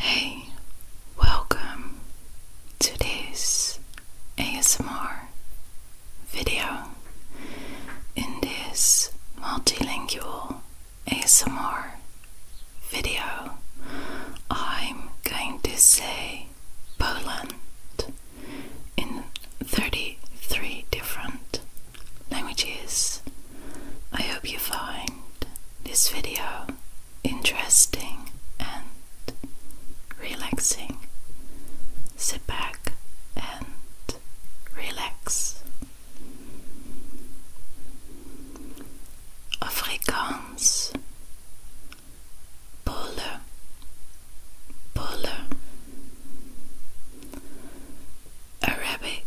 Hey, welcome to this ASMR video. In this multilingual ASMR video, I'm going to say Poland in 33 different languages I hope you find this video interesting and relaxing. Sit back and relax. Afrikaans Bolle Bolle Arabic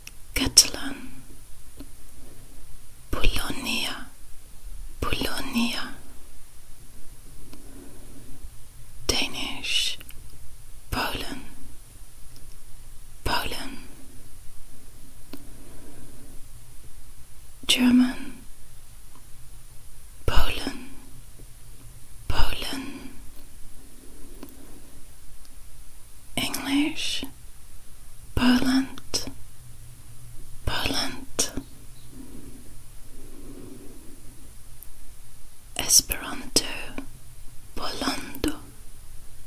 Catalan, Polonia, Polonia, Danish, Poland, Poland, German, Poland, Poland, English. Poland, Poland. Esperanto, Polando,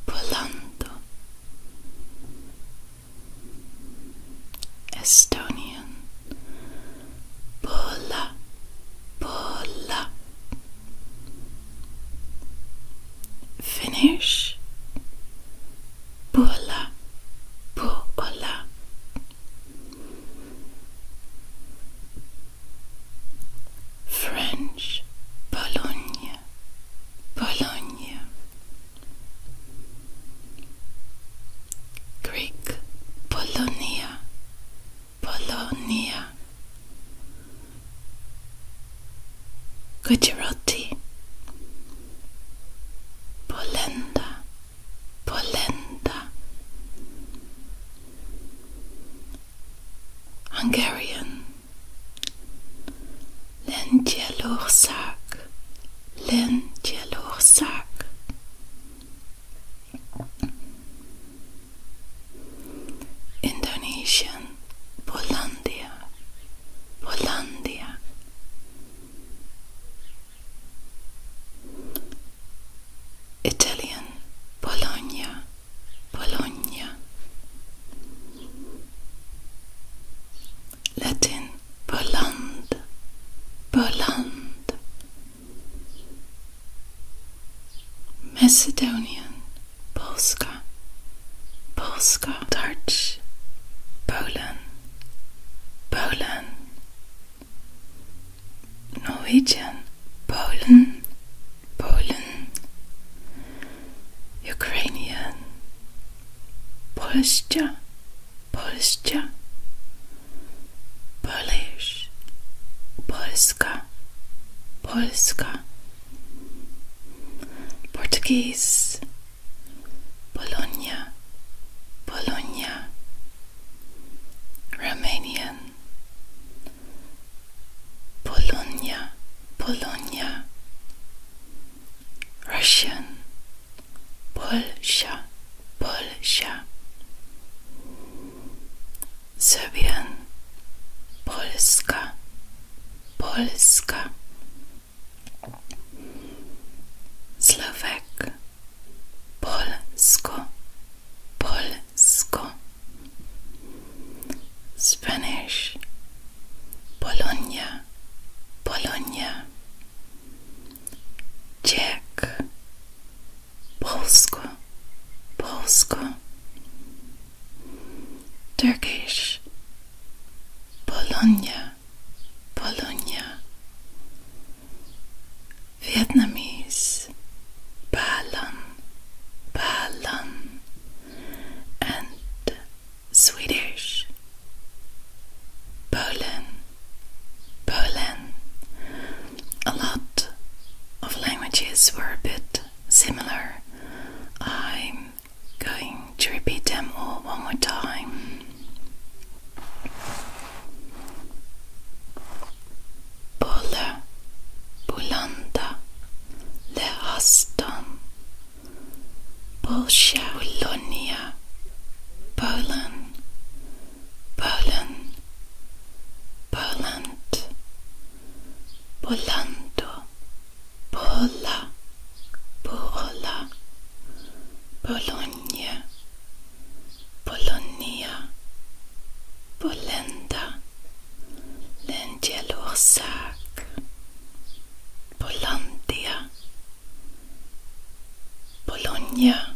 Polando. Estonian, Pola, Pola. Finish. Bola. Bola. French. Bologna. Bologna. Greek. Polonia. Polonia. Gujarati, Polenda, Polenda, Hungarian, Lengyelursak, Lengyelursak. Indonesian Polandia, Polandia. Italian, Polonia, Polonia, Latin, Poland, Poland. Macedonian, Polska, Polska, Dutch, Poland, Poland, Norwegian, Poland, Poland, Ukrainian, Polska, Polska, Polish, Polska, Polska. Portuguese, Polonia, Polonia, Romanian, Polonia, Polonia, Russian, Polska, Polska. Serbian, Polska, Polska, Slovak, Polsko, Polsko, Spanish, Polonia, Polonia, Czech, Polsko, Polsko. Turkish Polonia, Polonia, Vietnamese Balan Balan and Swedish Poland, Berlin a lot of languages were a bit similar. I'm going to repeat them all one more time. Bolle, bulanda, lehastan, Bolsha, Polonia, Poland, Poland, Poland, Polando, Pola, Pola, Polonia, Polonia, Polenda, Lengyelorsak, Polandia, Polonia.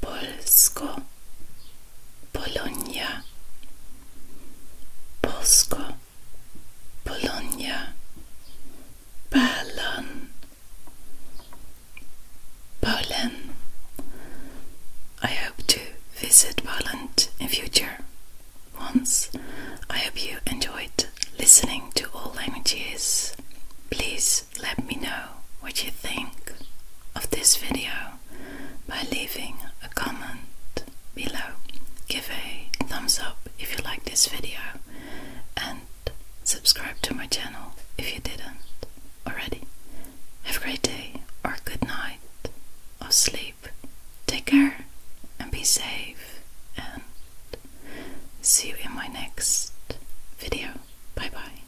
Poland, Polonia, Polsko, Polonia, Berlin, I hope to visit Poland in future once. I hope you enjoyed listening to all languages. Please let me know what you think of this video by leaving a comment below. Give a thumbs up if you like this video and subscribe to my channel if you didn't already. Have a great day or good night or sleep. Take care and be safe and see you in my next video. Bye bye.